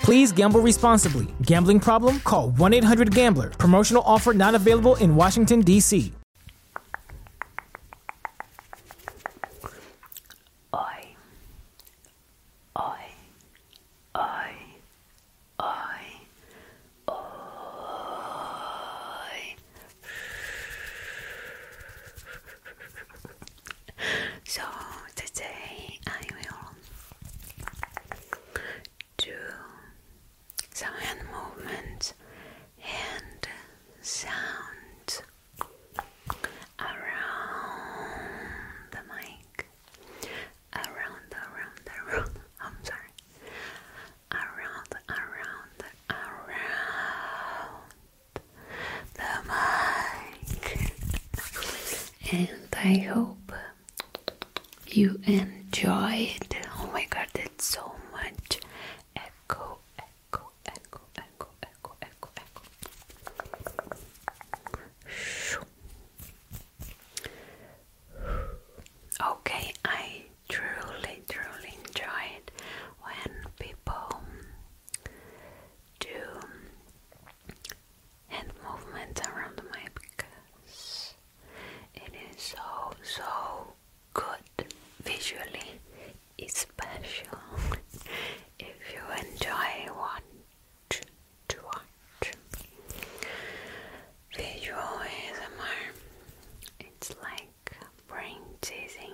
Please gamble responsibly. Gambling problem? Call 1 800 Gambler. Promotional offer not available in Washington, D.C so today I will do some hand movement and sound around the mic around around around I'm sorry around around around the mic. and I hope you enjoyed. Oh my god, that's so much echo, echo, echo, echo, echo, echo, echo. Okay, I truly, truly enjoy when people do and movement around my mic because it is so so good visually special. if you enjoy watch to watch visual ASMR it's like brain teasing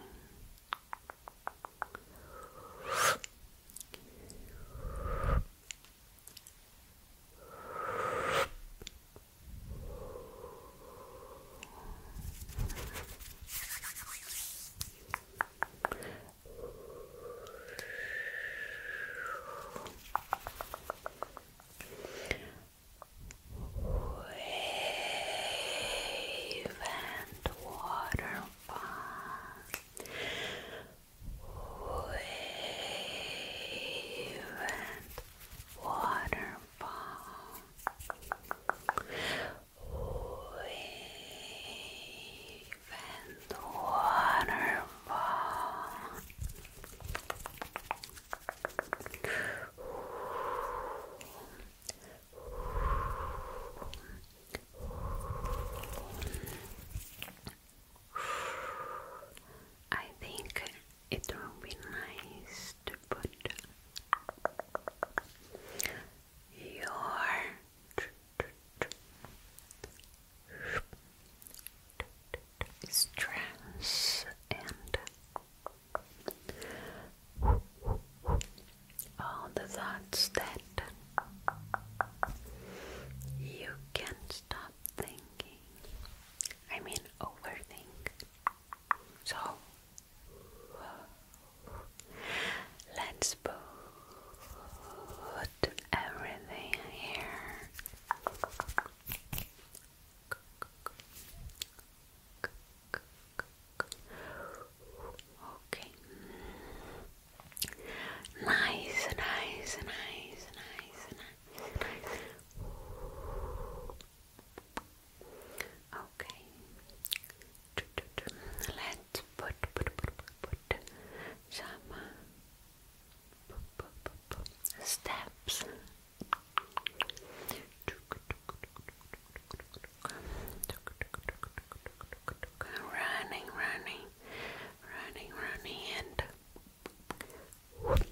Wave and waterfall wave and waterfall, wave and waterfall. I think it would be nice to put your stress and all the thoughts that you can't stop thinking. I mean, overthink. So, let's put everything here. Okay. Nice, nice, nice, nice, nice, nice. Okay. Let's put, put, put, put, put some steps. Running, running, runny, runny, runny, and whoop,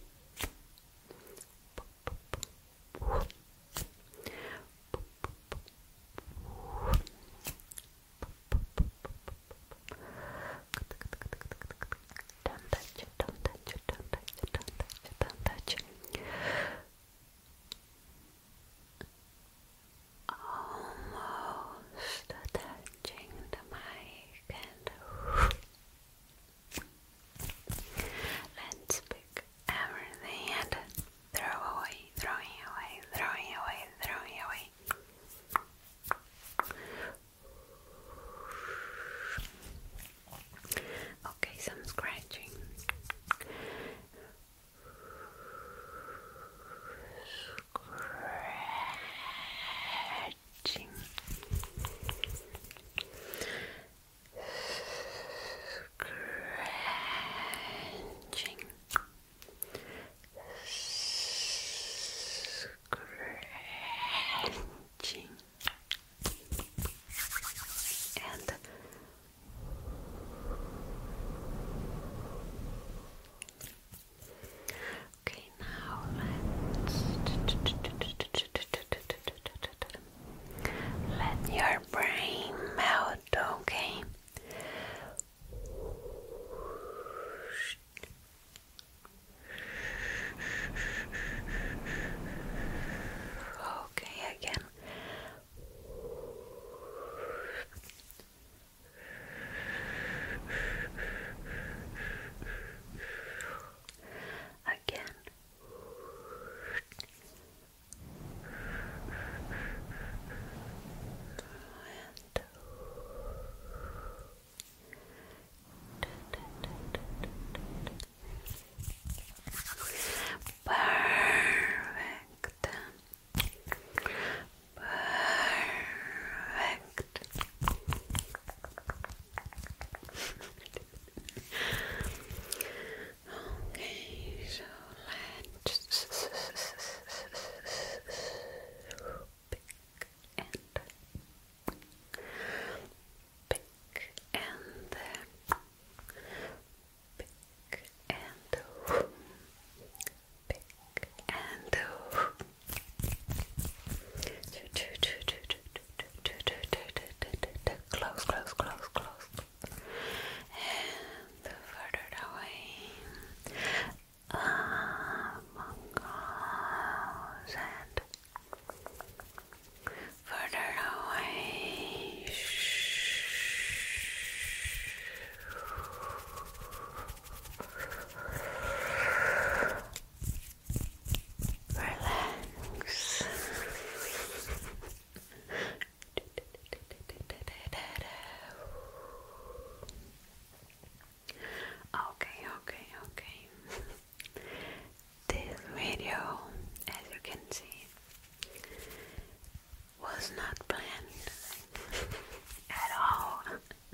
almost touching the mic and let's pick everything and throw away, throwing away, throwing away, throwing away. Okay, some scratching. Scratching. Scratching. Scratching. And Okay, now let's let your brain melt, okay? Okay, again. Again. And Perfect. Perfect. okay, so let's pick and pick and pick and and do. Close, close, close, And further away. Among and further away. Relax. Okay, okay, okay. This video, as you can see, was not planned at all.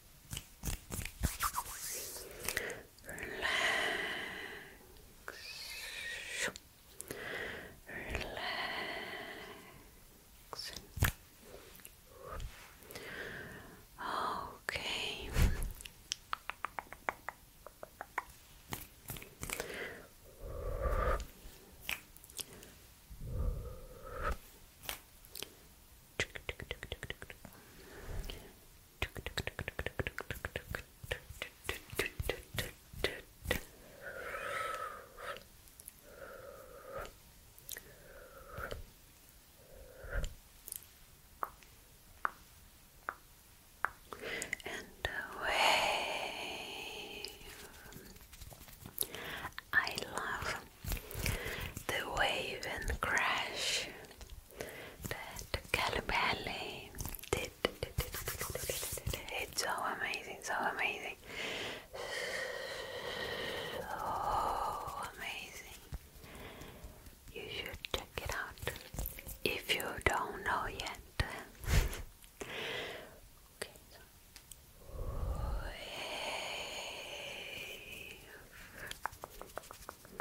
Relax. Relax. Okay. And away. I love the wave and crash that Calipelli did. It's so amazing, so amazing, so amazing. You should check it out if you don't know yet. Wave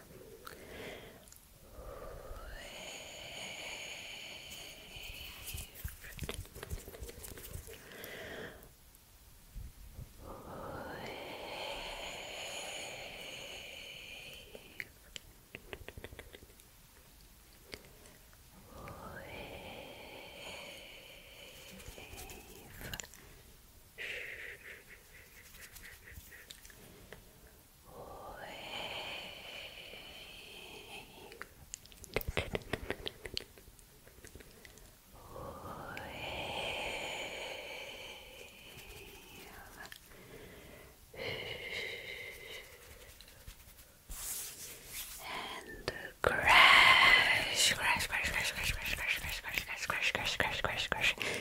and crash, crash, crash, crash, crash, crash, crash, crash, crash, crash, crash, crash, crash, crash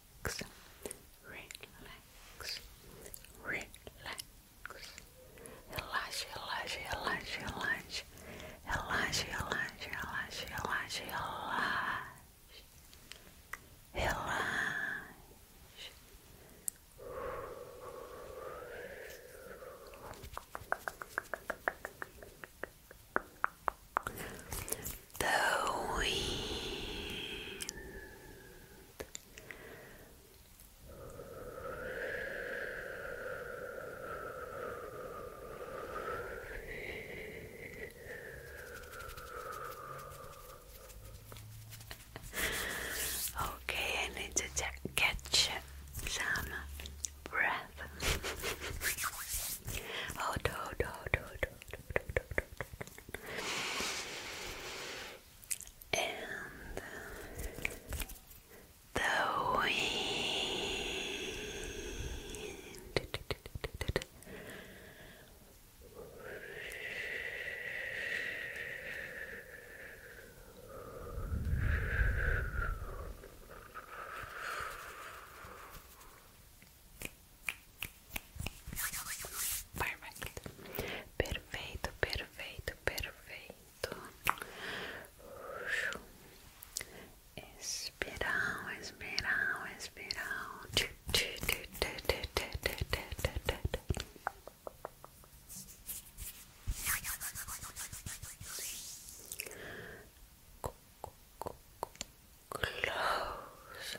relax, relax, relax. Relaxa, relaxa, relaxa, relaxa. Relaxa, relaxa, relaxa, relaxa, relaxa. Relaxa. The wind Okay, I need to catch some breath. hold, hold, hold, hold, hold, hold, hold, and the wind. Perfeito, perfeito, perfeito. Espiral, espiral, espiral. Close.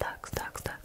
Ducks, ducks, ducks.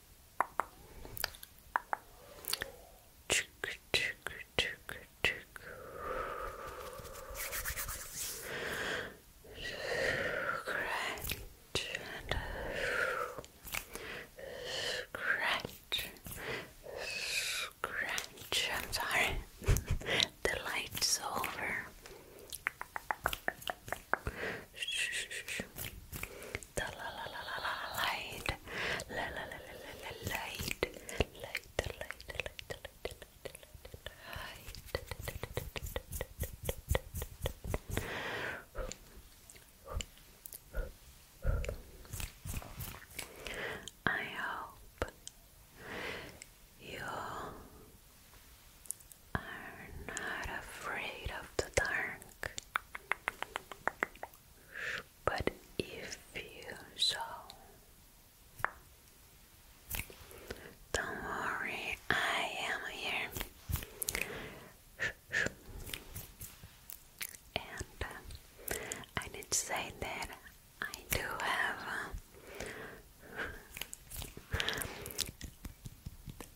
Scratch, scratch. I'm sorry, the light's over. The I hope you are not afraid of the dark. But if you so, don't worry, I am here. And uh, I need say that I do have uh,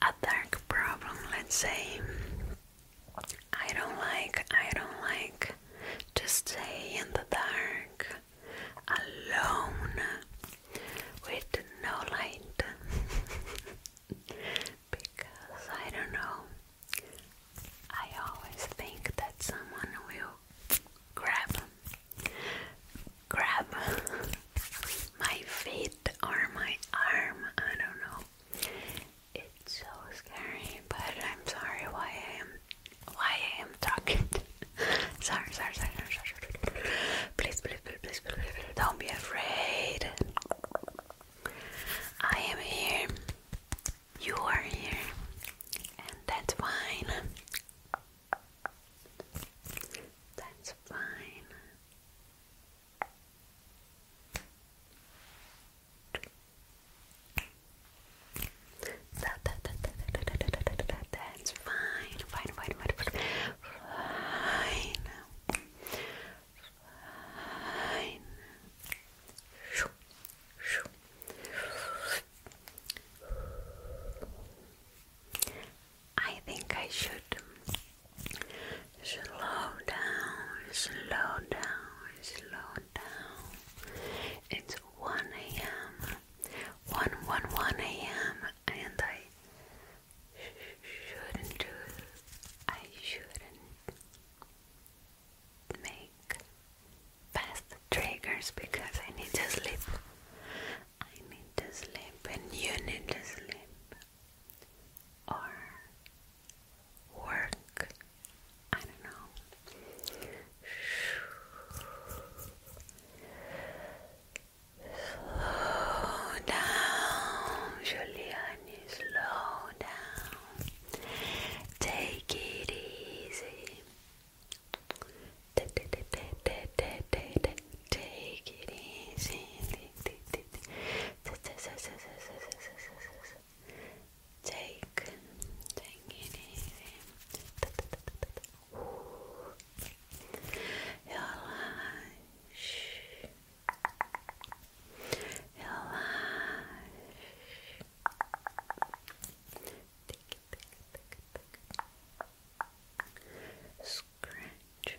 attack problem, let's say. I don't like, I don't like to stay in the dark alone with no light because I don't know. I always think that someone will grab, grab my feet or my arm, I don't know. It's so scary, but I'm sorry why I am why I am talking. sorry, sorry, sorry, sorry, sorry. Please, please, please, please, please, please, don't be afraid. I am here. You are here. And that's fine. That's fine. That, that, that, that, that, that, that, that, that, that's fine, fine, fine, fine, fine, fine, I think I should slow down, slow down, slow down. It's 1 a.m. 1 1 1 a.m. and I shouldn't do I shouldn't make fast triggers because I need to sleep. I need to sleep and you need to sleep or work. I don't know. Slow down, Giuliani, slow down. Take it easy. Take it easy. Take, take it easy. Your lash, your lash. Tick, Scratch,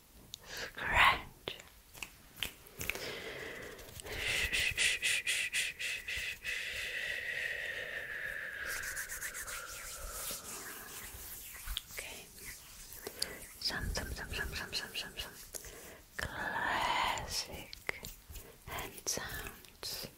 scratch. Okay. Some, some, some, some, some, some, some, some classic sounds.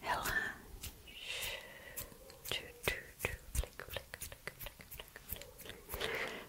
Hella. Flick, flick, flick, flick, flick, flick, flick,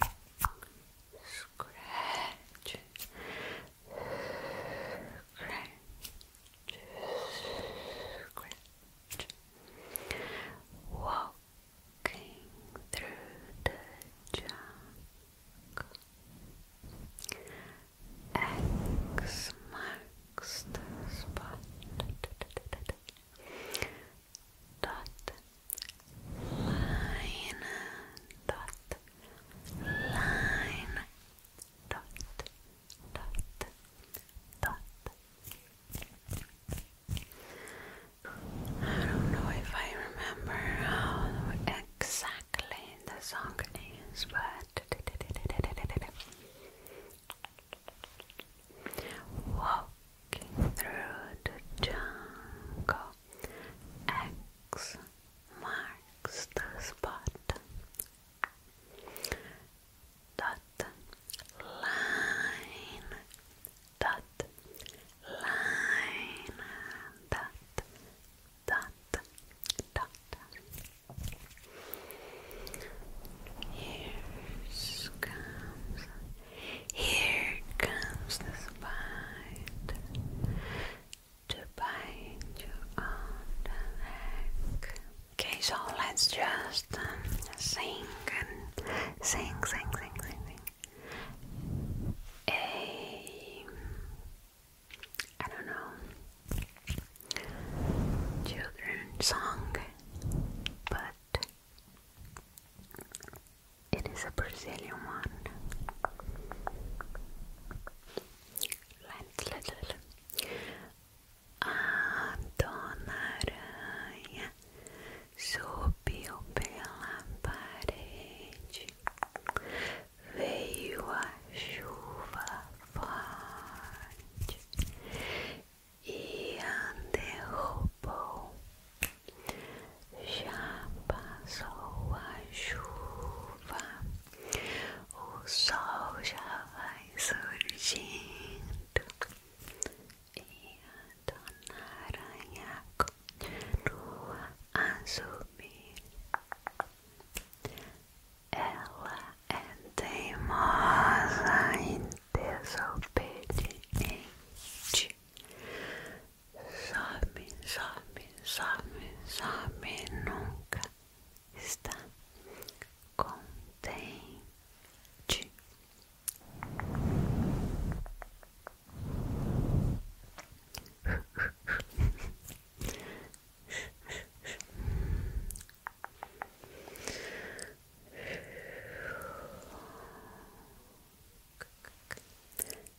scratch, scratch, scratch. Walking through the jungle. X marks the spot. Dot line dot line dot dot dot I don't know if I remember how exactly the song is but Walking through the jungle, X marks the spot. Dot line. Dot line. Dot dot dot. Here comes here comes the spider to bind you on the neck. Okay, so let's just um, sing and sing, sing, sing, sing, sing. A, I don't know, children song, but it is a Brazilian one. Let's A Dona Aranha subiu pela parede. Veio a chuva forte e ande derrubou já passou a chuva, o sol já vai surgindo e a dona aranha continua a subir. Ela é teimosa e desobediente. Sabe, sabe, sabe, sabe, nunca está contente.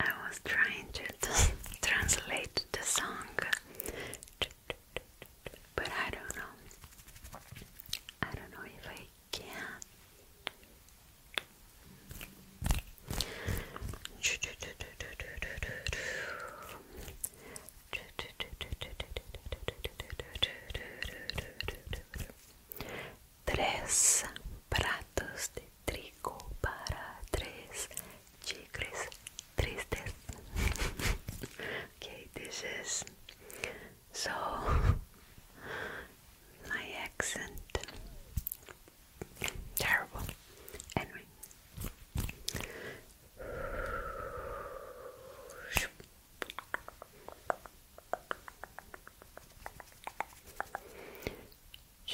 I was trying to translate the song, but I don't know. I don't know if I can. Tres pratos de trigo para tres chicles tristes. okay, this is so my accent terrible. Anyway.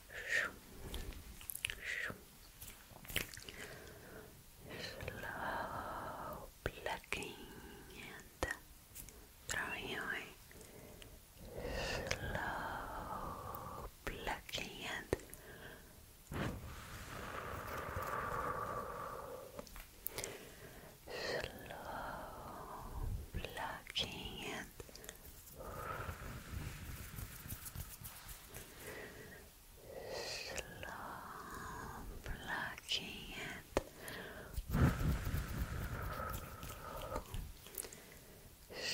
Slow plucking and throwing away. Slow plucking and slow plucking and Slow plucking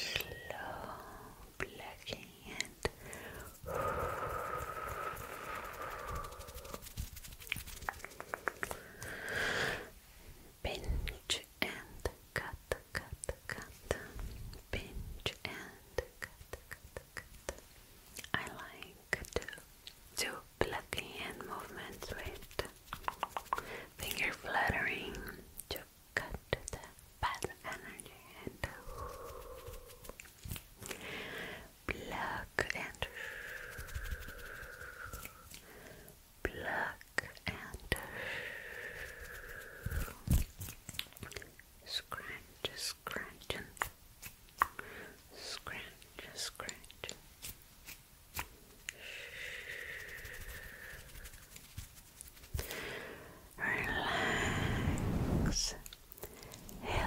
Slow plucking it and cut, cut, cut, pinch and cut, cut, cut. I like to do hand movements with finger fluttering to cut bad energy and pluck and Black and scratch, scratch, scratch, scratch. Relax. Relax. Relax.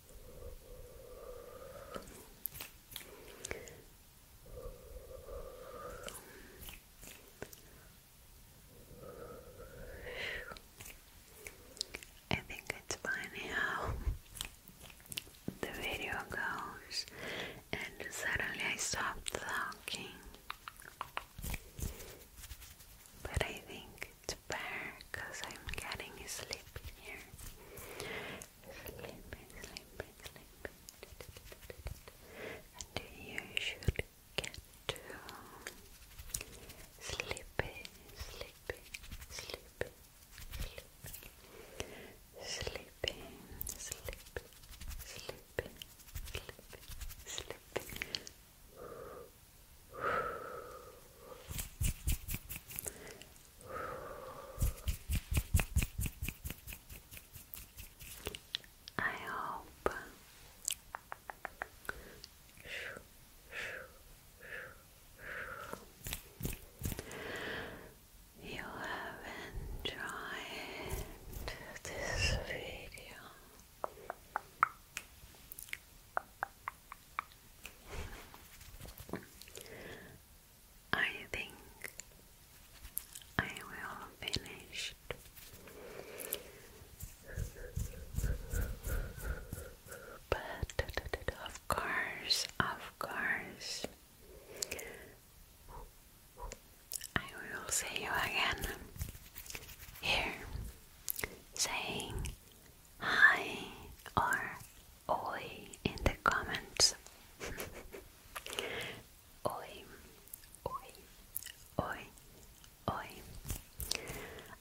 I think it's funny how the video goes, and suddenly I stop talking. But I think bit bare because I'm getting sleepy here. Sleepy, sleepy, sleepy. And you should sleepy, sleepy, sleepy, sleepy. Sleepy, sleepy, sleepy, sleepy, sleepy. I hope you have enjoyed this video. I think I will finish. But of course, of course, I will see you again here saying hi or oi in the comments. oi, oi, oi, oi.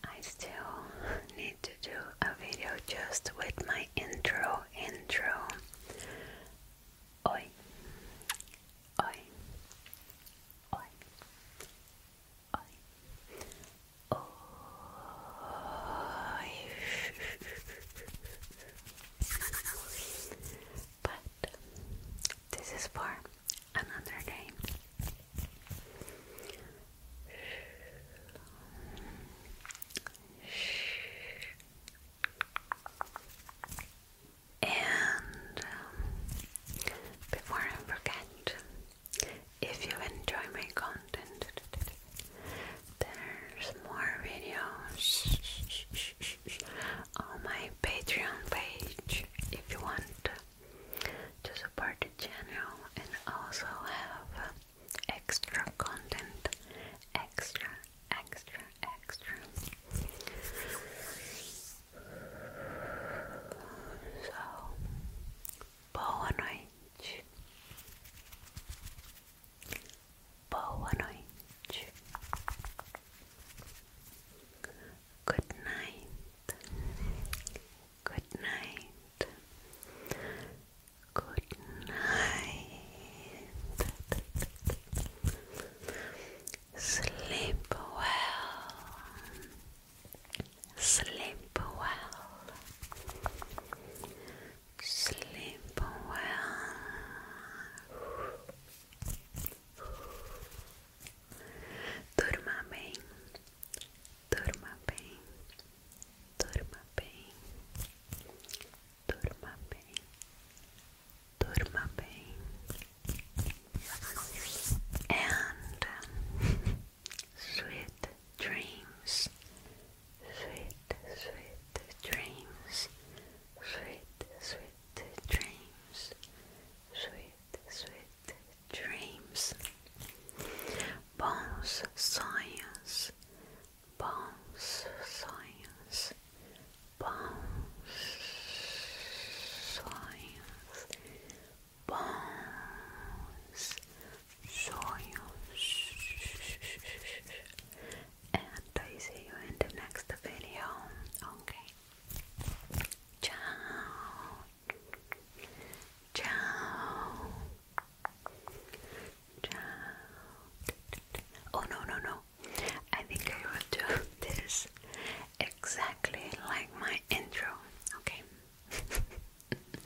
I still need to do a video just with my intro, intro. Oi, oi, oi, but this is for another day. And um, before I forget, if you enjoy my content, there's more videos on my Patreon page if you want to support the channel and also have extra content, extra, extra, extra. So, Boa noite. Boa noite. Good night. Good night. Good night. Sleep well. Sleep well. Sleep well. Durma bem. Durma bem. Durma bem. Durma bem. Durma bem. And Sweet dreams, sweet, sweet dreams, sweet, sweet dreams, sweet, sweet dreams. Bons sonhos, bons sonhos, bons sonhos, bons sonhos. And I see you in the next video. Okay. Ciao. Ciao. Ciao. Oh no no no. I think I will do this exactly like my intro. Okay.